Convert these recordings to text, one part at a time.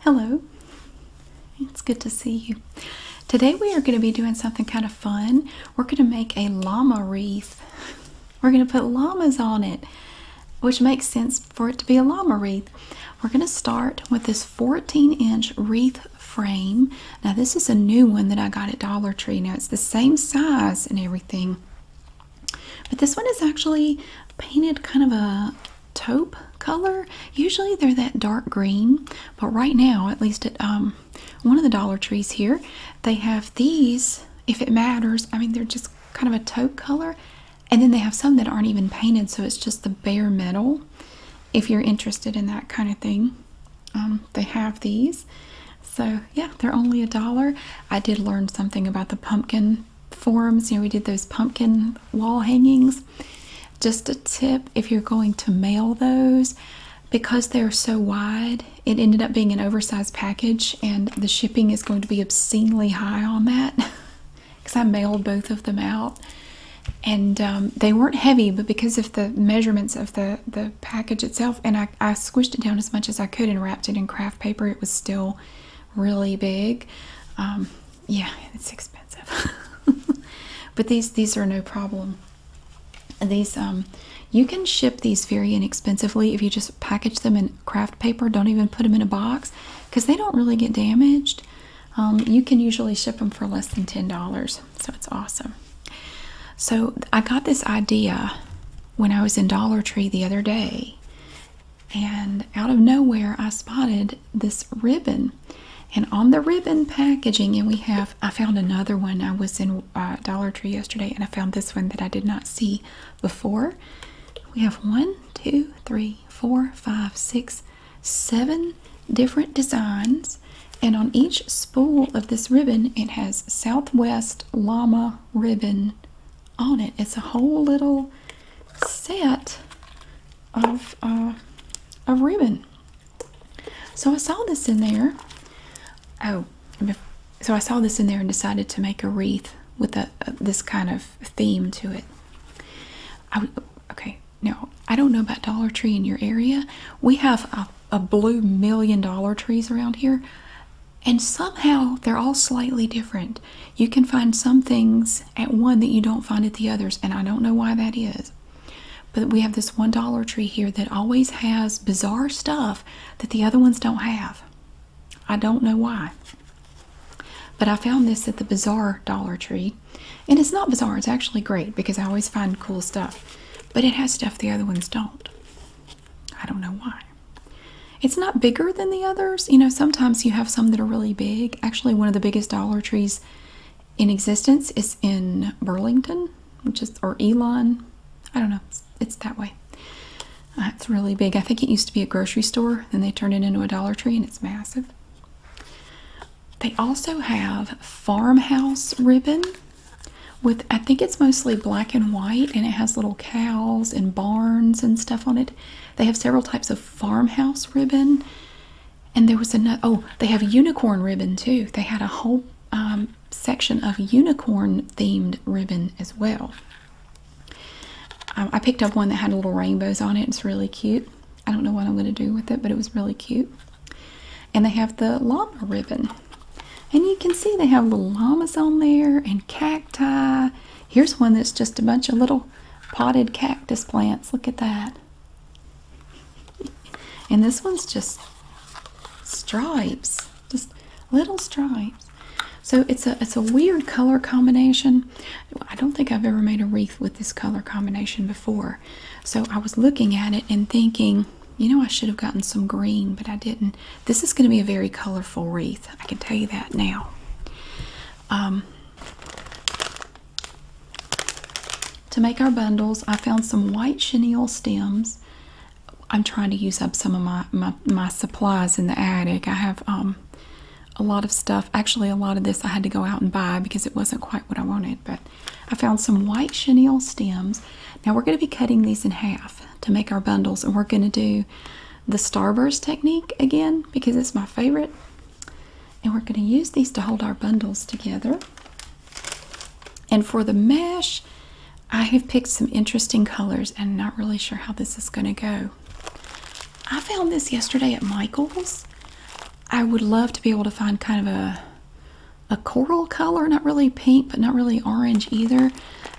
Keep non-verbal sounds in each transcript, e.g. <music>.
Hello, it's good to see you. Today we are going to be doing something kind of fun. We're going to make a llama wreath. We're going to put llamas on it, which makes sense for it to be a llama wreath. We're going to start with this 14 inch wreath frame. Now, this is a new one that I got at Dollar Tree. Now, it's the same size and everything. But this one is actually painted kind of a taupe color. Usually they're that dark green, but right now, at least at um, one of the Dollar Trees here, they have these, if it matters. I mean, they're just kind of a taupe color. And then they have some that aren't even painted, so it's just the bare metal. If you're interested in that kind of thing, um, they have these. So, yeah, they're only a dollar. I did learn something about the pumpkin forums. You know, we did those pumpkin wall hangings. Just a tip if you're going to mail those, because they're so wide, it ended up being an oversized package, and the shipping is going to be obscenely high on that because <laughs> I mailed both of them out. And um, they weren't heavy, but because of the measurements of the, the package itself, and I, squished it down as much as I could and wrapped it in craft paper, it was still really big. Um, yeah, it's expensive. <laughs> but these these are no problem. These um you can ship these very inexpensively if you just package them in craft paper, don't even put them in a box because they don't really get damaged. Um, you can usually ship them for less than $10, so it's awesome. So I got this idea when I was in Dollar Tree the other day and out of nowhere I spotted this ribbon and on the ribbon packaging and we have I found another one I was in uh, Dollar Tree yesterday and I found this one that I did not see before we have one two three four five six seven different designs and on each spool of this ribbon it has Southwest Llama ribbon on it. It's a whole little set of uh, ribbon. So I saw this in there. Oh, so I saw this in there and decided to make a wreath with a, this kind of theme to it. okay, now I don't know about Dollar Tree in your area. We have a blue million dollar trees around here. And somehow they're all slightly different. You can find some things at one that you don't find at the others, and I don't know why that is. But we have this one Dollar Tree here that always has bizarre stuff that the other ones don't have. I don't know why. But I found this at the Bizarre Dollar Tree. And it's not bizarre, it's actually great because I always find cool stuff. But it has stuff the other ones don't. I don't know why. It's not bigger than the others. You know, sometimes you have some that are really big. Actually, one of the biggest Dollar Trees in existence is in Burlington, which is, or Elon. I don't know. It's, that way. Uh, it's really big. I think it used to be a grocery store, then they turned it into a Dollar Tree, and it's massive. They also have farmhouse ribbon with, I think it's mostly black and white, and it has little cows and barns and stuff on it. They have several types of farmhouse ribbon. And there was another, oh, they have unicorn ribbon too. They had a whole um, section of unicorn themed ribbon as well. Um, I picked up one that had little rainbows on it. It's really cute. I don't know what I'm going to do with it, but it was really cute. And they have the llama ribbon. And you can see they have little llamas on there and cacti. Here's one that's just a bunch of little potted cactus plants. Look at that. And this one's just stripes, just little stripes. So it's a it's a weird color combination. I don't think I've ever made a wreath with this color combination before. So I was looking at it and thinking, you know, I should have gotten some green, but I didn't. This is going to be a very colorful wreath. I can tell you that now. Um, to make our bundles, I found some white chenille stems. I'm trying to use up some of my, my, supplies in the attic. I have um, a lot of stuff. Actually, a lot of this I had to go out and buy because it wasn't quite what I wanted, but I found some white chenille stems. Now we're going to be cutting these in half to make our bundles, and we're going to do the starburst technique again because it's my favorite. And we're going to use these to hold our bundles together. And for the mesh, I have picked some interesting colors and not really sure how this is going to go. I found this yesterday at Michael's. I would love to be able to find kind of a a coral color, not really pink, but not really orange either.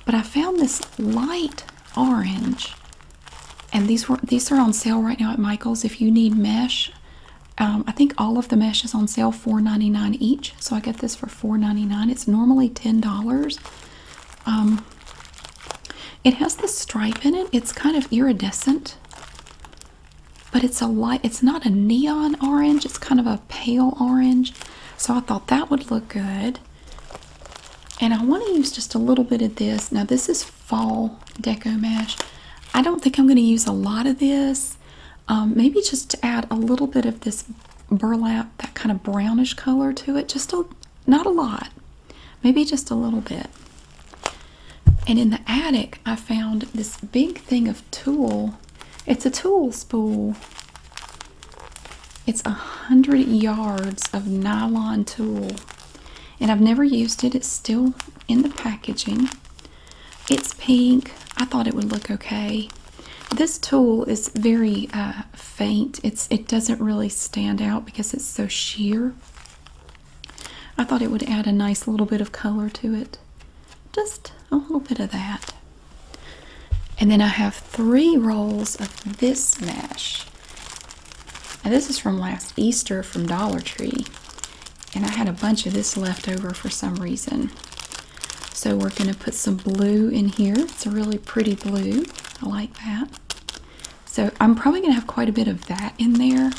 But I found this light orange and these were these are on sale right now at Michaels. If you need mesh, um, I think all of the mesh is on sale $4.99 each. So I got this for $4.99. It's normally $10. Um, it has this stripe in it. It's kind of iridescent, but it's a light. It's not a neon orange. It's kind of a pale orange. So I thought that would look good. And I want to use just a little bit of this. Now, this is fall deco mesh. I don't think I'm going to use a lot of this. Um, maybe just to add a little bit of this burlap, that kind of brownish color to it. Just a, not a lot, maybe just a little bit. And in the attic, I found this big thing of tulle. It's a tulle spool. It's a hundred yards of nylon tulle, and I've never used it. It's still in the packaging. It's pink. I thought it would look okay. This tulle is very uh, faint. it doesn't really stand out because it's so sheer. I thought it would add a nice little bit of color to it. Just a little bit of that. And then I have three rolls of this mesh. And this is from last Easter from Dollar Tree. And I had a bunch of this left over for some reason. So we're going to put some blue in here. It's a really pretty blue. I like that. So I'm probably going to have quite a bit of that in there.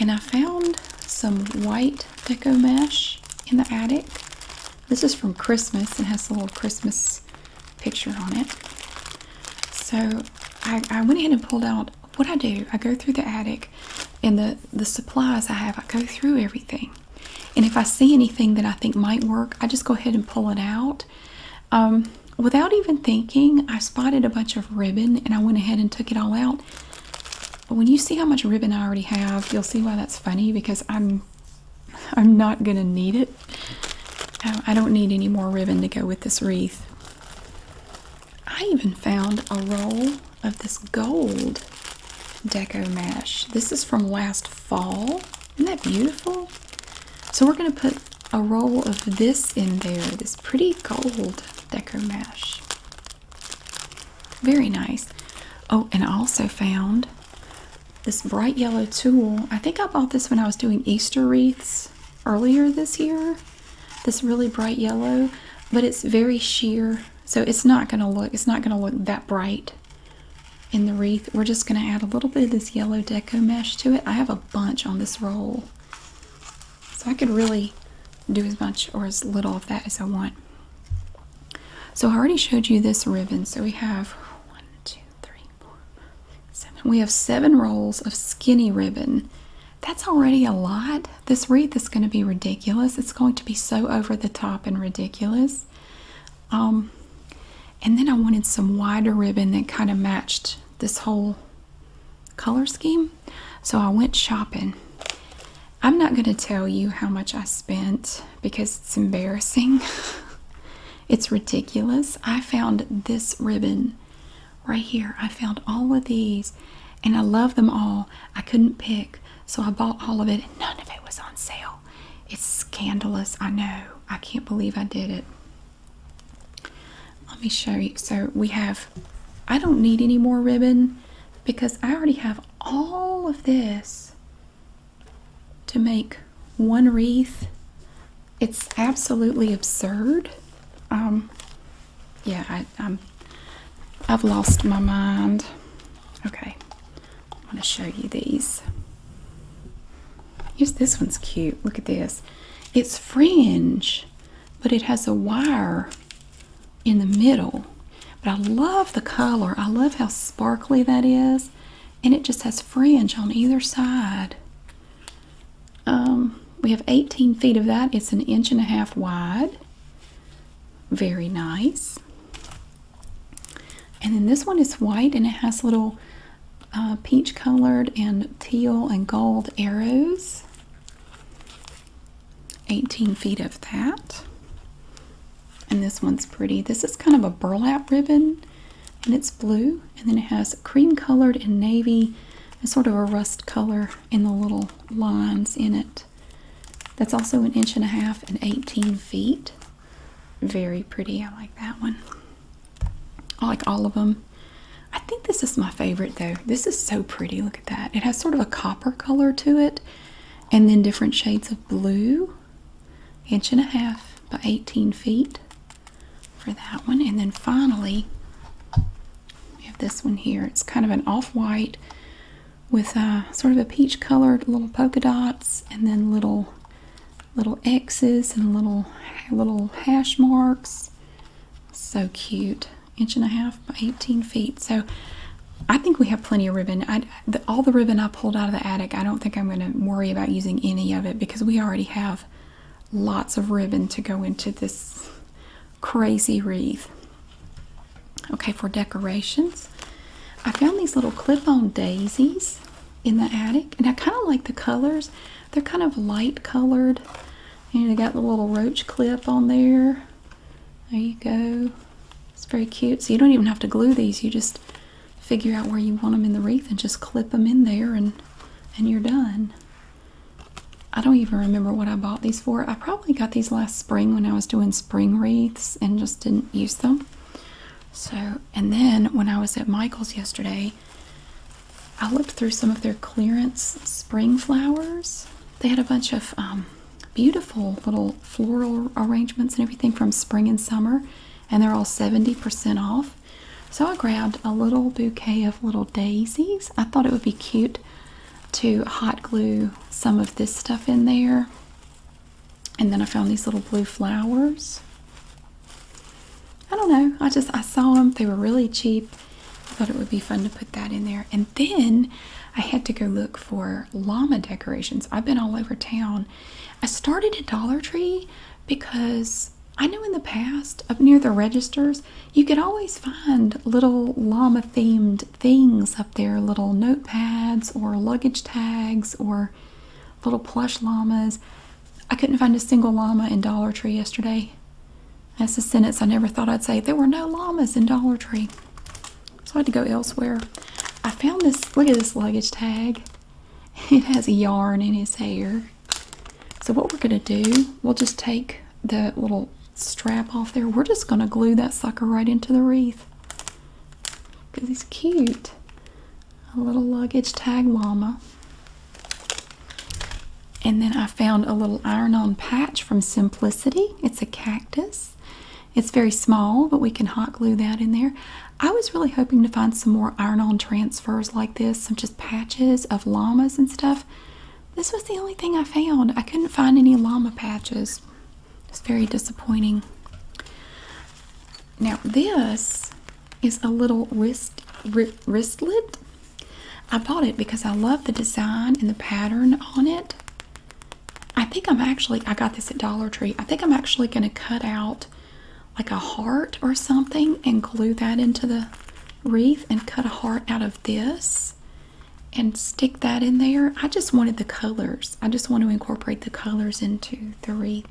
And I found some white deco mesh in the attic. This is from Christmas and has a little Christmas picture on it. So I, went ahead and pulled out what I do. I go through the attic and the, the supplies I have, I go through everything. And if I see anything that I think might work, I just go ahead and pull it out. Um, without even thinking, I spotted a bunch of ribbon and I went ahead and took it all out. But when you see how much ribbon I already have, you'll see why that's funny because I'm I'm not going to need it. Um, I don't need any more ribbon to go with this wreath. I even found a roll of this gold deco mesh. This is from last fall. Isn't that beautiful? So we're going to put a roll of this in there, this pretty gold deco mesh. Very nice. Oh, and also found this bright yellow tulle. I think I bought this when I was doing Easter wreaths earlier this year. This really bright yellow, but it's very sheer, so it's not going to look it's not going to look that bright in the wreath. We're just going to add a little bit of this yellow deco mesh to it. I have a bunch on this roll. So I could really do as much or as little of that as I want. So I already showed you this ribbon. So we have one, two, we have seven rolls of skinny ribbon. That's already a lot. This wreath is going to be ridiculous. It's going to be so over the top and ridiculous. Um, and then I wanted some wider ribbon that kind of matched this whole color scheme. So I went shopping. I'm not going to tell you how much I spent because it's embarrassing. <laughs> it's ridiculous. I found this ribbon right here. I found all of these and I love them all. I couldn't pick, so I bought all of it and none of it was on sale. It's scandalous. I know. I can't believe I did it. Let me show you. So we have, I don't need any more ribbon because I already have all of this to make one wreath. It's absolutely absurd. Um, yeah, I, i I've lost my mind. Okay, I'm going to show you these. Here's this one's cute. Look at this. It's fringe, but it has a wire in the middle. But I love the color. I love how sparkly that is and it just has fringe on either side. Um, we have 18 feet of that. It's an inch and a half wide. Very nice. And then this one is white and it has little uh, peach colored and teal and gold arrows. 18 feet of that. And this one's pretty. This is kind of a burlap ribbon and it's blue and then it has cream colored and navy and sort of a rust color in the little lines in it. That's also an inch and a half and 18 feet. Very pretty. I like that one. I like all of them. I think this is my favorite though. This is so pretty. Look at that. It has sort of a copper color to it and then different shades of blue inch and a half by 18 feet for that one. And then finally, we have this one here. It's kind of an off-white with uh, sort of a peach colored little polka dots and then little little X's and little little hash marks. So cute. Inch and a half by 18 feet. So I think we have plenty of ribbon all the ribbon I pulled out of the attic, I don't think I'm going to worry about using any of it because we already have lots of ribbon to go into this crazy wreath. Okay, for decorations, I found these little clip-on daisies in the attic, and I kind of like the colors. They're kind of light colored, and they got the little roach clip on there. There you go. It's very cute. So you don't even have to glue these. You just figure out where you want them in the wreath and just clip them in there and and you're done. I don't even remember what I bought these for. I probably got these last spring when I was doing spring wreaths and just didn't use them. So, and then when I was at Michael's yesterday, I looked through some of their clearance spring flowers. They had a bunch of um, beautiful little floral arrangements and everything from spring and summer and they're all 70% off so i grabbed a little bouquet of little daisies i thought it would be cute to hot glue some of this stuff in there and then i found these little blue flowers i don't know i just i saw them they were really cheap i thought it would be fun to put that in there and then i had to go look for llama decorations i've been all over town I started at Dollar Tree because I know in the past up near the registers you could always find little llama themed things up there little notepads or luggage tags or little plush llamas. I couldn't find a single llama in Dollar Tree yesterday. That's a sentence I never thought I'd say. There were no llamas in Dollar Tree. So I had to go elsewhere. I found this, look at this luggage tag. It has a yarn in his hair. So what we're gonna do, we'll just take the little strap off there. We're just gonna glue that sucker right into the wreath. Because he's cute. A little luggage tag mama. And then I found a little iron-on patch from Simplicity. It's a cactus. It's very small, but we can hot glue that in there. I was really hoping to find some more iron-on transfers like this, some just patches of llamas and stuff. This was the only thing I found. I couldn't find any llama patches. It's very disappointing. Now this is a little wrist wristlet. I bought it because I love the design and the pattern on it. I think I'm actually, I got this at Dollar Tree. I think I'm actually going to cut out like a heart or something and glue that into the wreath and cut a heart out of this and stick that in there. I just wanted the colors. I just want to incorporate the colors into the wreath.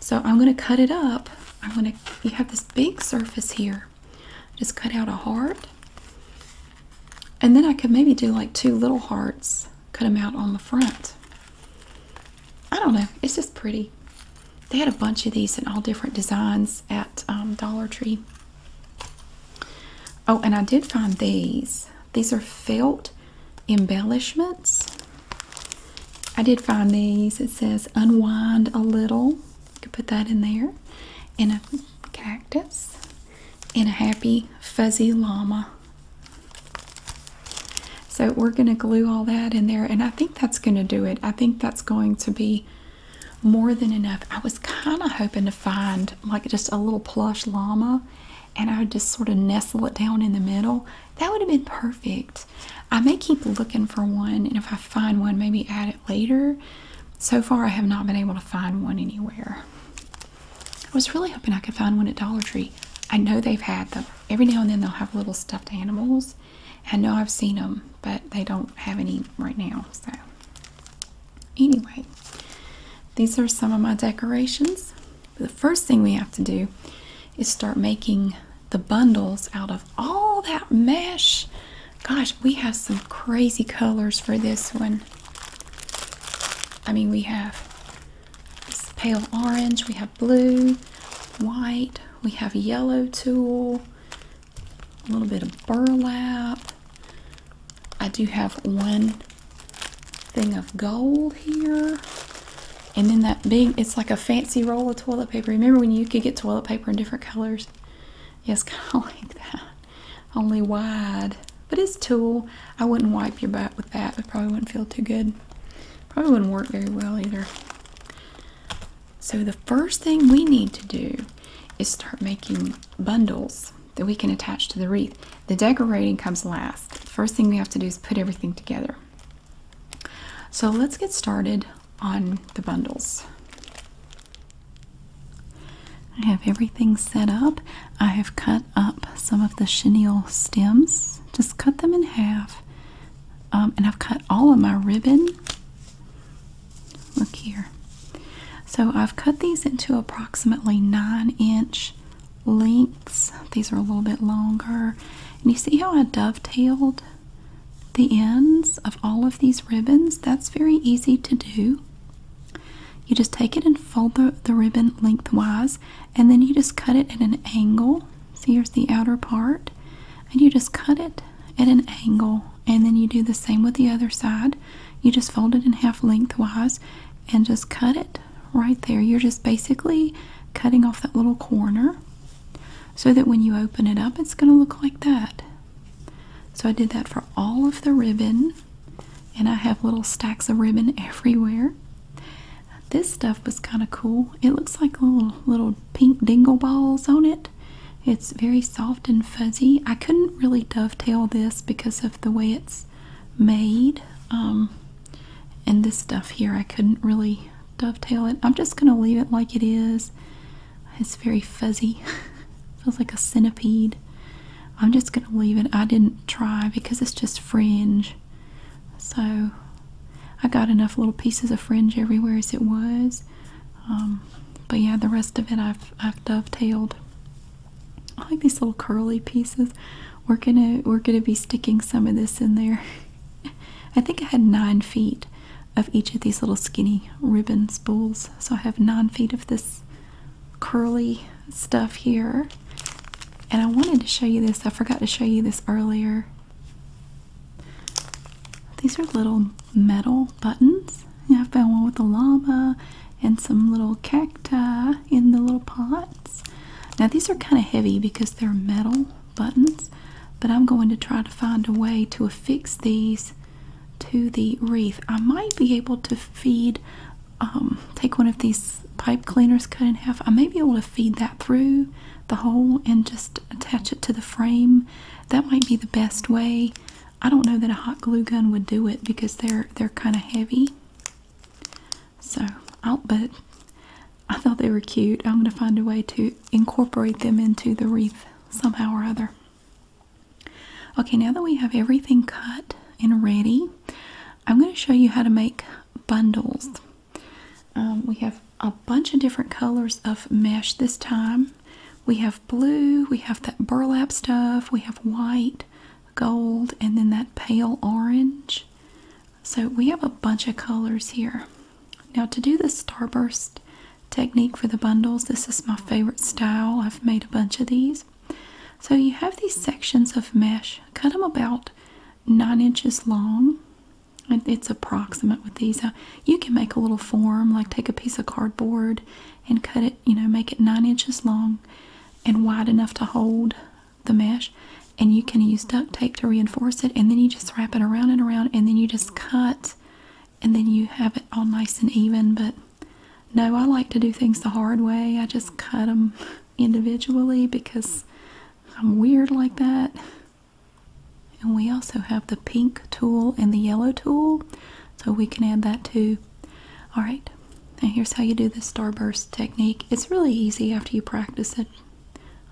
So I'm going to cut it up. I'm going to, you have this big surface here. Just cut out a heart. And then I could maybe do like two little hearts cut them out on the front. I don't know. It's just pretty. They had a bunch of these in all different designs at um, Dollar Tree. Oh, and I did find these. These are felt embellishments. I did find these. It says unwind a little. You could put that in there. And a cactus and a happy fuzzy llama. So we're going to glue all that in there and I think that's going to do it. I think that's going to be more than enough. I was kind of hoping to find like just a little plush llama and I would just sort of nestle it down in the middle. That would have been perfect. I may keep looking for one and if I find one maybe add it later. So far I have not been able to find one anywhere. I was really hoping I could find one at Dollar Tree. I know they've had them. Every now and then they'll have little stuffed animals. I know I've seen them, but they don't have any right now. So, anyway, these are some of my decorations. the first thing we have to do is start making the bundles out of all that mesh. Gosh, we have some crazy colors for this one. I mean, we have it's pale orange. We have blue, white. We have yellow tulle, a little bit of burlap. I do have one thing of gold here. And then that big, it's like a fancy roll of toilet paper. Remember when you could get toilet paper in different colors? Yes, <laughs> kind of like that, only wide but it's tulle. I wouldn't wipe your back with that. It probably wouldn't feel too good. Probably wouldn't work very well either. So the first thing we need to do is start making bundles that we can attach to the wreath. The decorating comes last. The first thing we have to do is put everything together. So let's get started on the bundles. I have everything set up. I have cut up some of the chenille stems, just cut them in half. Um, and I've cut all of my ribbon. Look here. So I've cut these into approximately nine inch lengths. These are a little bit longer. And you see how I dovetailed the ends of all of these ribbons? That's very easy to do. You just take it and fold the, ribbon lengthwise, and then you just cut it at an angle. So here's the outer part, and you just cut it at an angle, and then you do the same with the other side. You just fold it in half lengthwise and just cut it right there. You're just basically cutting off that little corner so that when you open it up, it's going to look like that. So I did that for all of the ribbon and I have little stacks of ribbon everywhere. This stuff was kind of cool. It looks like little little pink dingle balls on it. It's very soft and fuzzy. I couldn't really dovetail this because of the way it's made. Um, and this stuff here, I couldn't really dovetail it. I'm just going to leave it like it is. It's very fuzzy. <laughs> Feels like a centipede. I'm just gonna leave it. I didn't try because it's just fringe. So I got enough little pieces of fringe everywhere as it was. Um, but yeah, the rest of it I've I've dovetailed. I like these little curly pieces. We're gonna we're gonna be sticking some of this in there. <laughs> I think I had nine feet of each of these little skinny ribbon spools. So I have nine feet of this curly stuff here. And I wanted to show you this. I forgot to show you this earlier. These are little metal buttons. I found one with a llama and some little cacti in the little pots. Now these are kind of heavy because they're metal buttons, but I'm going to try to find a way to affix these to the wreath. I might be able to feed um, take one of these pipe cleaners cut in half. I may be able to feed that through the hole and just attach it to the frame. That might be the best way. I don't know that a hot glue gun would do it because they're they're kind of heavy. So, I'll, but I thought they were cute. I'm going to find a way to incorporate them into the wreath somehow or other. Okay, now that we have everything cut and ready, I'm going to show you how to make bundles. Um, we have a bunch of different colors of mesh this time. We have blue, we have that burlap stuff, we have white, gold, and then that pale orange. So we have a bunch of colors here. Now to do the starburst technique for the bundles, this is my favorite style. I've made a bunch of these. So you have these sections of mesh, cut them about nine inches long. It's approximate with these. You can make a little form, like take a piece of cardboard and cut it, you know, make it nine inches long and wide enough to hold the mesh. And you can use duct tape to reinforce it, and then you just wrap it around and around, and then you just cut, and then you have it all nice and even. But no, I like to do things the hard way. I just cut them individually because I'm weird like that. And we also have the pink tool and the yellow tool, so we can add that too. All right, and here's how you do the starburst technique. It's really easy after you practice it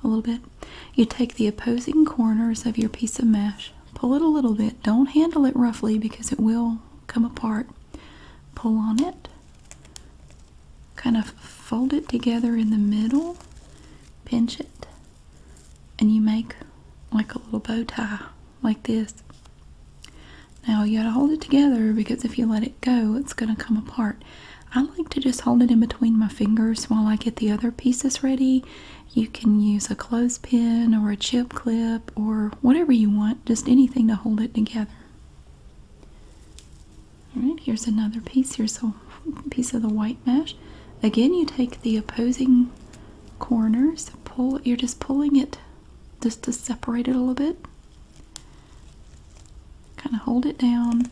a little bit. You take the opposing corners of your piece of mesh, pull it a little bit, don't handle it roughly because it will come apart, pull on it, kind of fold it together in the middle, pinch it, and you make like a little bow tie, like this. Now you gotta hold it together because if you let it go, it's gonna come apart. I like to just hold it in between my fingers while I get the other pieces ready. You can use a clothespin or a chip clip or whatever you want, just anything to hold it together. All right, here's another piece. Here's a piece of the white mesh. Again, you take the opposing corners, pull, you're just pulling it just to separate it a little bit. Kind of hold it down,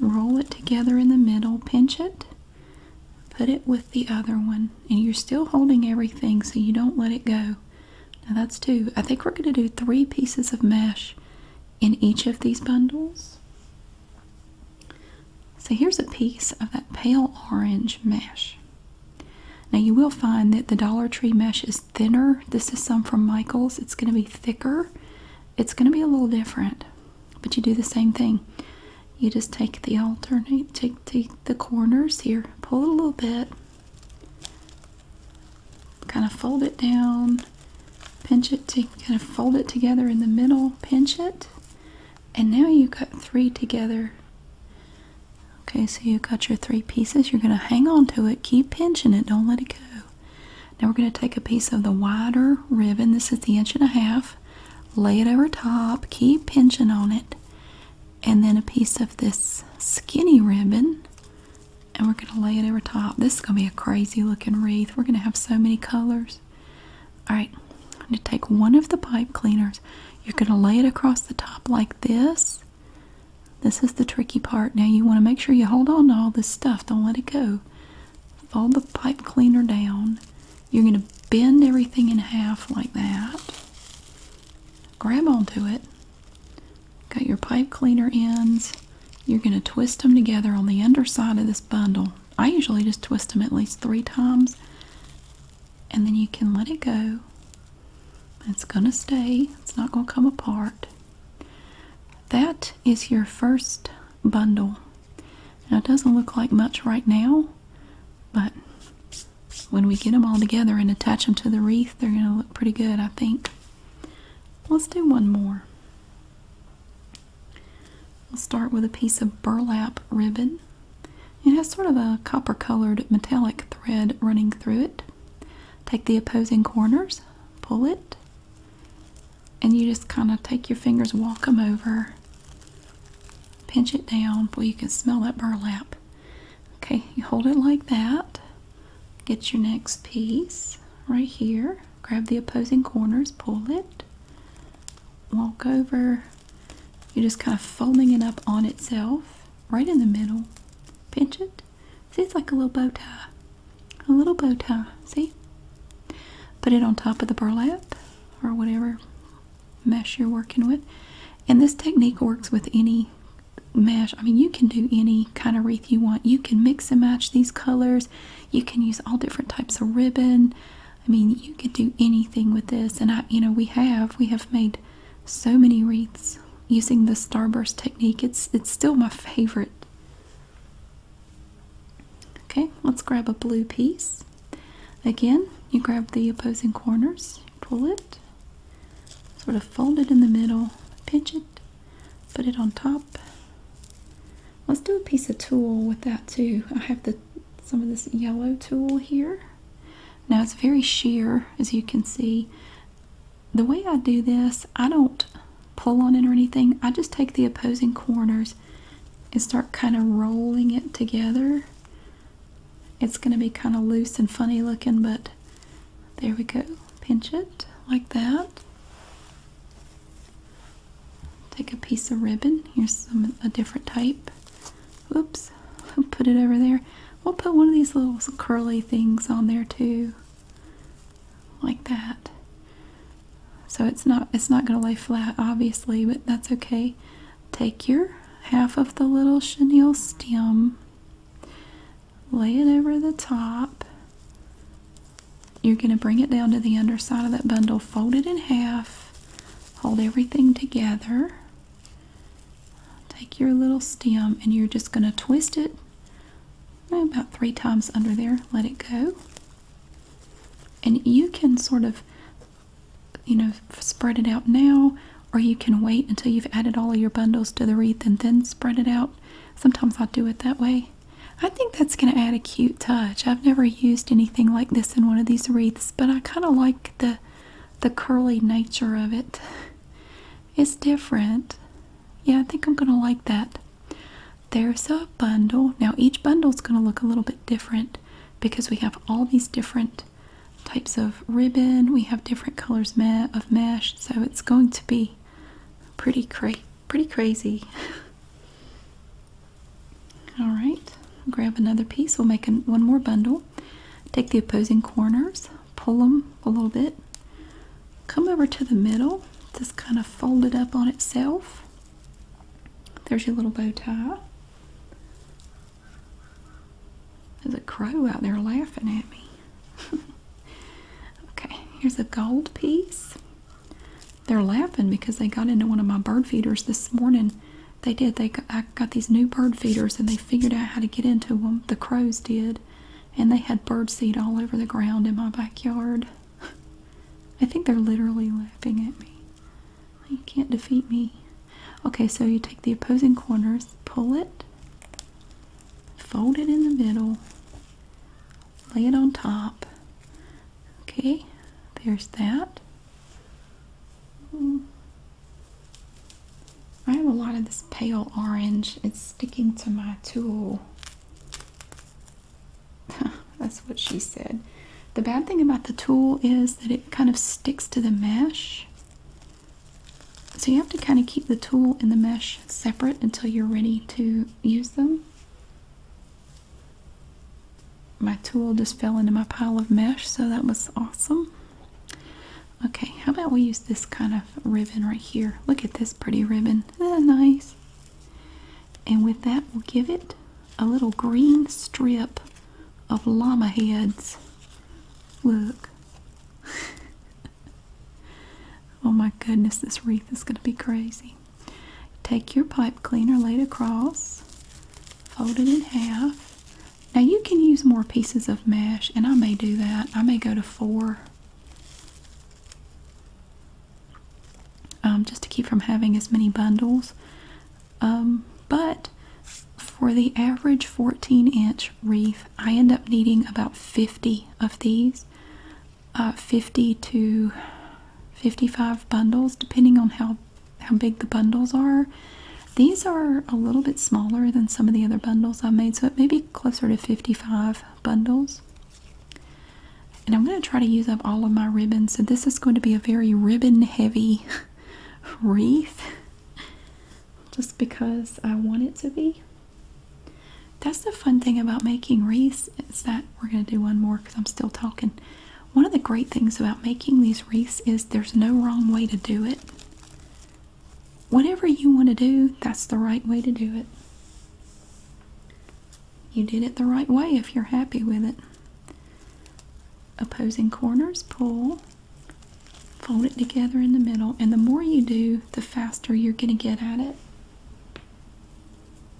roll it together in the middle, pinch it, put it with the other one, and you're still holding everything so you don't let it go. Now that's two. I think we're going to do three pieces of mesh in each of these bundles. So here's a piece of that pale orange mesh. Now you will find that the Dollar Tree mesh is thinner. This is some from Michaels. It's going to be thicker. It's going to be a little different, but you do the same thing. You just take the alternate, take, take the corners here, pull it a little bit, kind of fold it down, pinch it to kind of fold it together in the middle, pinch it, and now you've got three together. Okay, so you've got your three pieces. You're going to hang on to it, keep pinching it, don't let it go. Now we're going to take a piece of the wider ribbon, this is the inch and a half, lay it over top, keep pinching on it, and then a piece of this skinny ribbon and we're going to lay it over top. This is going to be a crazy looking wreath. We're going to have so many colors. Alright, I'm going to take one of the pipe cleaners. You're going to lay it across the top like this. This is the tricky part. Now you want to make sure you hold on to all this stuff. Don't let it go. Fold the pipe cleaner down. You're going to bend everything in half like that. Grab onto it. Got your pipe cleaner ends. You're going to twist them together on the underside of this bundle. I usually just twist them at least three times and then you can let it go. It's going to stay. It's not going to come apart. That is your first bundle. Now it doesn't look like much right now, but when we get them all together and attach them to the wreath, they're going to look pretty good, I think. Let's do one more. We'll start with a piece of burlap ribbon. It has sort of a copper colored metallic thread running through it. Take the opposing corners, pull it, and you just kind of take your fingers, walk them over, pinch it down. Well, you can smell that burlap. Okay, you hold it like that. Get your next piece right here. Grab the opposing corners, pull it, walk over. You're just kind of folding it up on itself, right in the middle. Pinch it. See, it's like a little bow tie. A little bow tie, see? Put it on top of the burlap or whatever mesh you're working with. And this technique works with any mesh. I mean, you can do any kind of wreath you want. You can mix and match these colors. You can use all different types of ribbon. I mean, you can do anything with this. And I, you know, we have we have made so many wreaths using the starburst technique. It's it's still my favorite. Okay, let's grab a blue piece. Again, you grab the opposing corners, pull it, Sort of fold it in the middle, pinch it, put it on top. Let's do a piece of tulle with that too. I have the some of this yellow tulle here. Now it's very sheer, as you can see. The way I do this, I don't pull on it or anything. I just take the opposing corners and start kind of rolling it together it's going to be kind of loose and funny looking, but there we go. Pinch it like that. Take a piece of ribbon. Here's a different type. Oops. <laughs> Put it over there. We'll put one of these little curly things on there too. Like that. So it's not it's not going to lay flat obviously, but that's okay. Take your half of the little chenille stem, lay it over the top. You're going to bring it down to the underside of that bundle, fold it in half, hold everything together. Take your little stem and you're just going to twist it about three times under there, let it go. And you can sort of you know, spread it out now, or you can wait until you've added all of your bundles to the wreath and then spread it out. Sometimes I do it that way. I think that's going to add a cute touch. I've never used anything like this in one of these wreaths, but I kind of like the the curly nature of it. It's different. Yeah, I think I'm going to like that. There's a bundle. Now each bundle is going to look a little bit different because we have all these different types of ribbon. We have different colors of mesh, so it's going to be pretty crazy. <laughs> All right, grab another piece. We'll make one more bundle. Take the opposing corners, pull them a little bit, come over to the middle, just kind of fold it up on itself. There's your little bow tie. There's a crow out there laughing at me. <laughs> okay, here's a gold piece. They're laughing because they got into one of my bird feeders this morning. They did. They got, I got these new bird feeders and they figured out how to get into them. The crows did. And they had bird seed all over the ground in my backyard. <laughs> I think they're literally laughing at me. You can't defeat me. Okay, so you take the opposing corners, pull it, fold it in the middle, lay it on top. Okay, there's that. I have a lot of this pale orange. It's sticking to my tool. <laughs> That's what she said. The bad thing about the tool is that it kind of sticks to the mesh. So you have to kind of keep the tool and the mesh separate until you're ready to use them. My tool just fell into my pile of mesh, so that was awesome. Okay, how about we use this kind of ribbon right here? Look at this pretty ribbon. nice? And with that, we'll give it a little green strip of llama heads. Look. <laughs> oh my goodness, this wreath is going to be crazy. Take your pipe cleaner, lay it across, fold it in half. Now you can use more pieces of mesh, and I may do that. I may go to four. Um, just to keep from having as many bundles. Um, but for the average 14 inch wreath, I end up needing about 50 of these, uh, 50 to 55 bundles, depending on how, how big the bundles are. These are a little bit smaller than some of the other bundles I made, so it may be closer to 55 bundles. And I'm going to try to use up all of my ribbons, so this is going to be a very ribbon heavy <laughs> wreath just because I want it to be. That's the fun thing about making wreaths is that we're going to do one more because I'm still talking. One of the great things about making these wreaths is there's no wrong way to do it. Whatever you want to do, that's the right way to do it. You did it the right way if you're happy with it. Opposing corners, pull. Fold it together in the middle, and the more you do, the faster you're going to get at it.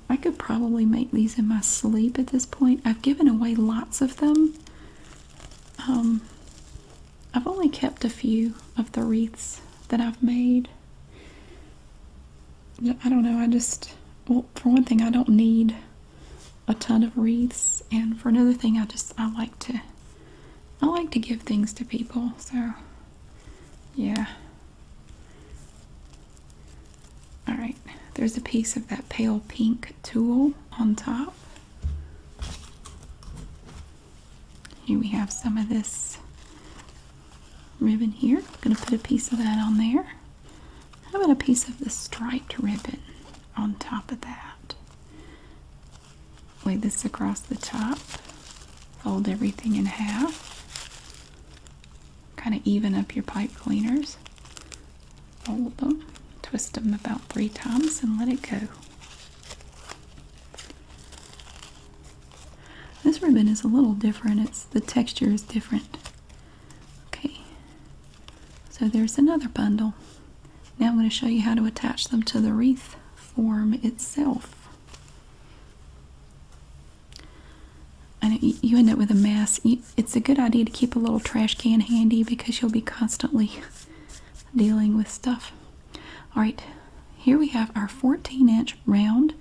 I could probably make these in my sleep at this point. I've given away lots of them. Um, I've only kept a few of the wreaths that I've made. I don't know, I just, well, for one thing, I don't need a ton of wreaths and for another thing I just I like to I like to give things to people so yeah all right there's a piece of that pale pink tulle on top here we have some of this ribbon here I'm gonna put a piece of that on there how about a piece of the striped ribbon on top of that? Lay this across the top, fold everything in half, kind of even up your pipe cleaners, fold them, twist them about three times, and let it go. This ribbon is a little different, it's the texture is different. Okay, so there's another bundle. Now I'm going to show you how to attach them to the wreath form itself. I you end up with a mess. It's a good idea to keep a little trash can handy because you'll be constantly <laughs> dealing with stuff. Alright, here we have our 14 inch round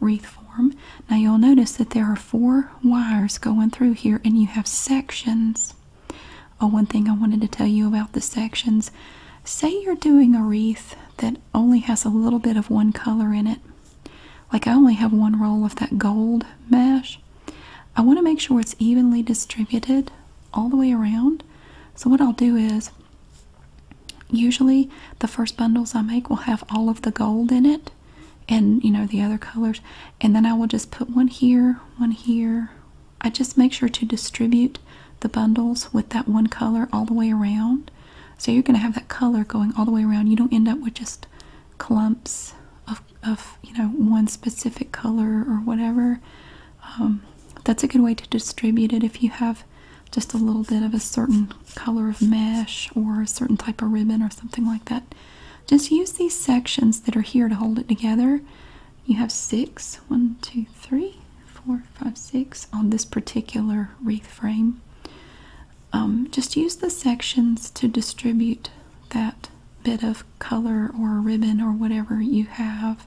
wreath form. Now you'll notice that there are four wires going through here and you have sections Oh, one thing I wanted to tell you about the sections. Say you're doing a wreath that only has a little bit of one color in it. Like I only have one roll of that gold mesh. I want to make sure it's evenly distributed all the way around. So what I'll do is usually the first bundles I make will have all of the gold in it and you know the other colors and then I will just put one here one here I just make sure to distribute the bundles with that one color all the way around so you're gonna have that color going all the way around you don't end up with just clumps of, of you know one specific color or whatever um, that's a good way to distribute it if you have just a little bit of a certain color of mesh or a certain type of ribbon or something like that just use these sections that are here to hold it together. You have six, one, two, three, four, five, six on this particular wreath frame. Um, just use the sections to distribute that bit of color or ribbon or whatever you have.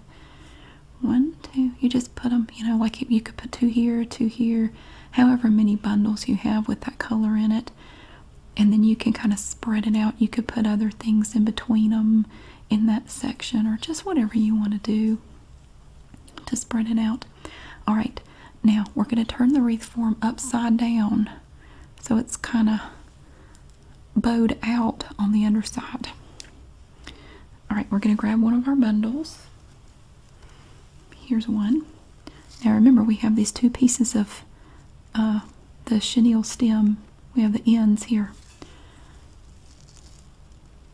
One, two, you just put them, you know, like you could put two here, two here, however many bundles you have with that color in it and then you can kind of spread it out. You could put other things in between them in that section or just whatever you want to do to spread it out. All right, now we're going to turn the wreath form upside down so it's kind of bowed out on the underside. All right, we're going to grab one of our bundles. Here's one. Now remember, we have these two pieces of uh, the chenille stem. We have the ends here.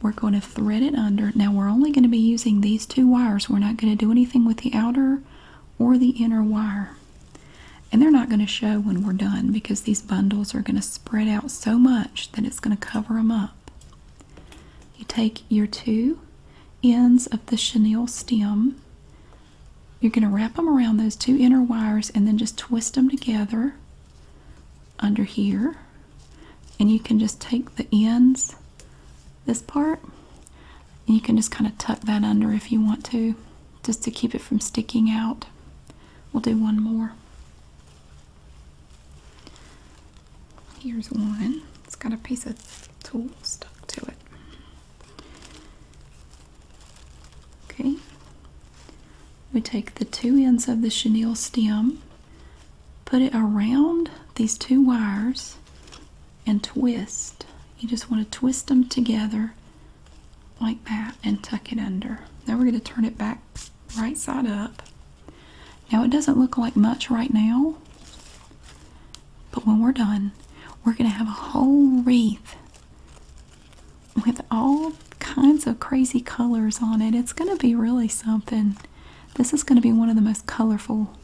We're going to thread it under. Now we're only going to be using these two wires. We're not going to do anything with the outer or the inner wire. And they're not going to show when we're done because these bundles are going to spread out so much that it's going to cover them up. You take your two ends of the chenille stem you're going to wrap them around those two inner wires and then just twist them together under here. And you can just take the ends, this part, and you can just kind of tuck that under if you want to, just to keep it from sticking out. We'll do one more. Here's one. It's got a piece of tool stuck to it. Okay. We take the two ends of the chenille stem, put it around these two wires, and twist. You just want to twist them together like that and tuck it under. Now we're going to turn it back right side up. Now it doesn't look like much right now, but when we're done, we're going to have a whole wreath with all kinds of crazy colors on it. It's going to be really something. This is going to be one of the most colorful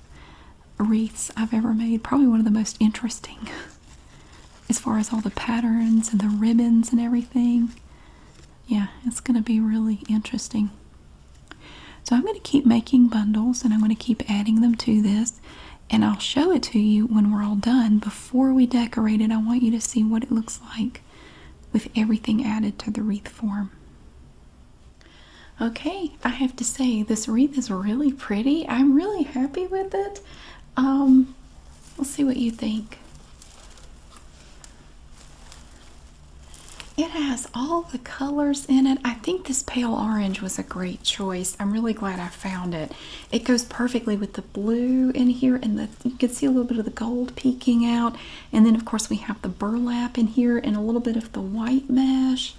wreaths I've ever made, probably one of the most interesting <laughs> as far as all the patterns and the ribbons and everything. Yeah, it's going to be really interesting. So I'm going to keep making bundles and I'm going to keep adding them to this and I'll show it to you when we're all done. Before we decorate it, I want you to see what it looks like with everything added to the wreath form. Okay, I have to say this wreath is really pretty. I'm really happy with it. Um, let's see what you think. It has all the colors in it. I think this pale orange was a great choice. I'm really glad I found it. It goes perfectly with the blue in here, and you can see a little bit of the gold peeking out. And then, of course, we have the burlap in here, and a little bit of the white mesh,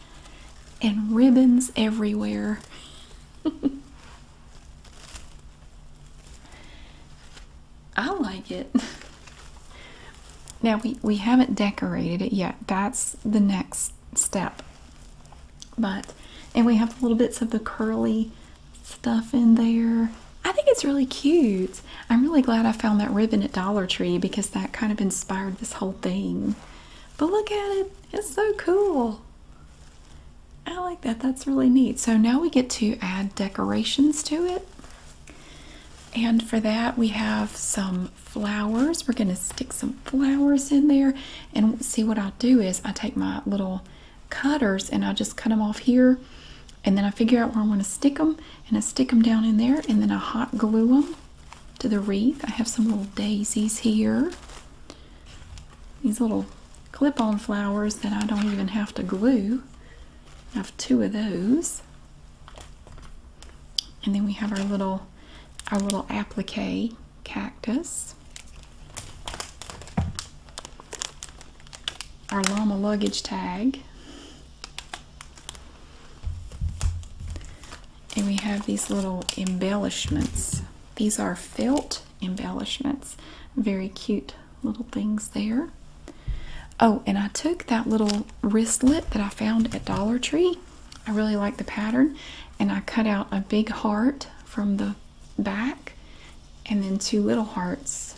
and ribbons everywhere. <laughs> I like it. <laughs> Now we we haven't decorated it yet. That's the next step. But, and we have little bits of the curly stuff in there. I think it's really cute. I'm really glad I found that ribbon at Dollar Tree because that kind of inspired this whole thing. But look at it, it's so cool. I like that, that's really neat. So now we get to add decorations to it. And for that, we have some flowers. We're going to stick some flowers in there and see what I do is I take my little cutters and I just cut them off here and then I figure out where I want to stick them and I stick them down in there and then I hot glue them to the wreath. I have some little daisies here. These little clip-on flowers that I don't even have to glue. I have two of those. And then we have our little our little applique cactus. Our llama luggage tag. And we have these little embellishments. These are felt embellishments. Very cute little things there. Oh, and I took that little wristlet that I found at Dollar Tree I really like the pattern and I cut out a big heart from the back and then two little hearts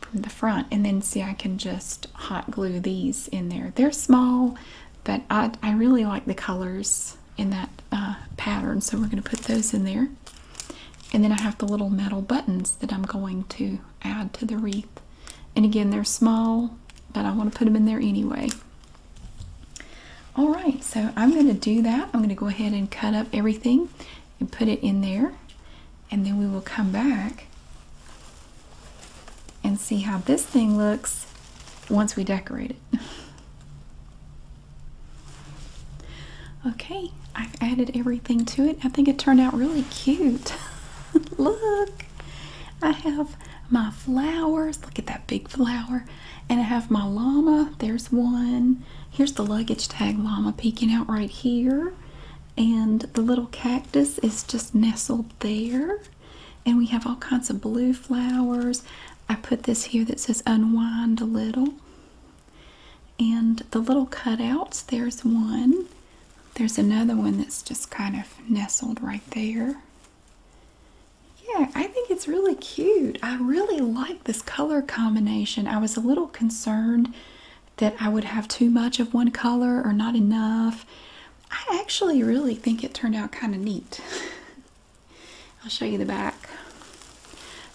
from the front and then see I can just hot glue these in there. They're small but I, really like the colors in that uh, pattern so we're going to put those in there. And then I have the little metal buttons that I'm going to add to the wreath. And again, they're small, but I want to put them in there anyway. All right, so I'm going to do that. I'm going to go ahead and cut up everything and put it in there. And then we will come back and see how this thing looks once we decorate it. <laughs> okay, I've added everything to it. I think it turned out really cute. <laughs> Look! I have my flowers. Look at that big flower. And I have my llama. There's one. Here's the luggage tag llama peeking out right here. And the little cactus is just nestled there. And we have all kinds of blue flowers. I put this here that says unwind a little. And the little cutouts, there's one. There's another one that's just kind of nestled right there. Yeah, I think it's really cute. I really like this color combination. I was a little concerned that I would have too much of one color or not enough. I actually really think it turned out kind of neat. <laughs> I'll show you the back.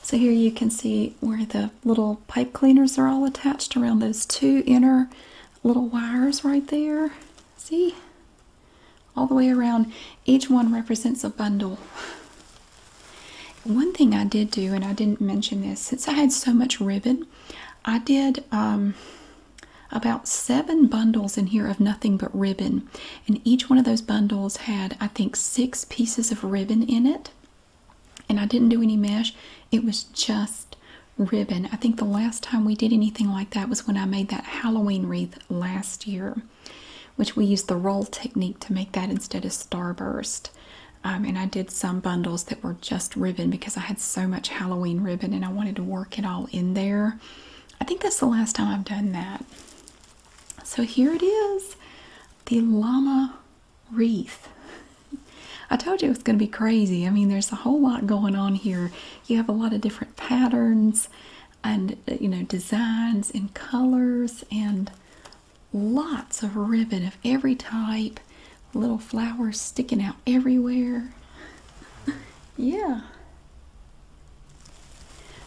So here you can see where the little pipe cleaners are all attached around those two inner little wires right there. See? all the way around. Each one represents a bundle. One thing I did do, and I didn't mention this, since I had so much ribbon, I did um, about seven bundles in here of nothing but ribbon. And each one of those bundles had, I think, six pieces of ribbon in it. And I didn't do any mesh, it was just ribbon. I think the last time we did anything like that was when I made that Halloween wreath last year, which we used the roll technique to make that instead of starburst. Um, and I did some bundles that were just ribbon because I had so much Halloween ribbon and I wanted to work it all in there. I think that's the last time I've done that. So here it is the llama wreath. <laughs> I told you it was going to be crazy. I mean, there's a whole lot going on here you have a lot of different patterns and uh, you know designs and colors and lots of ribbon of every type little flowers sticking out everywhere <laughs> yeah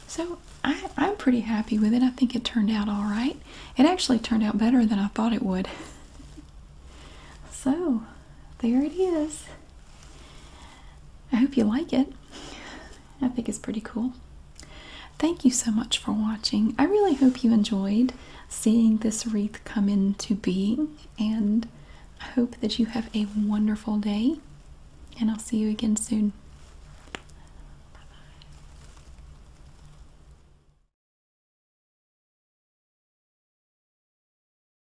so I, i'm pretty happy with it i think it turned out all right it actually turned out better than i thought it would <laughs> so there it is I hope you like it. I think it's pretty cool. Thank you so much for watching. I really hope you enjoyed seeing this wreath come into being, and I hope that you have a wonderful day, and I'll see you again soon. bye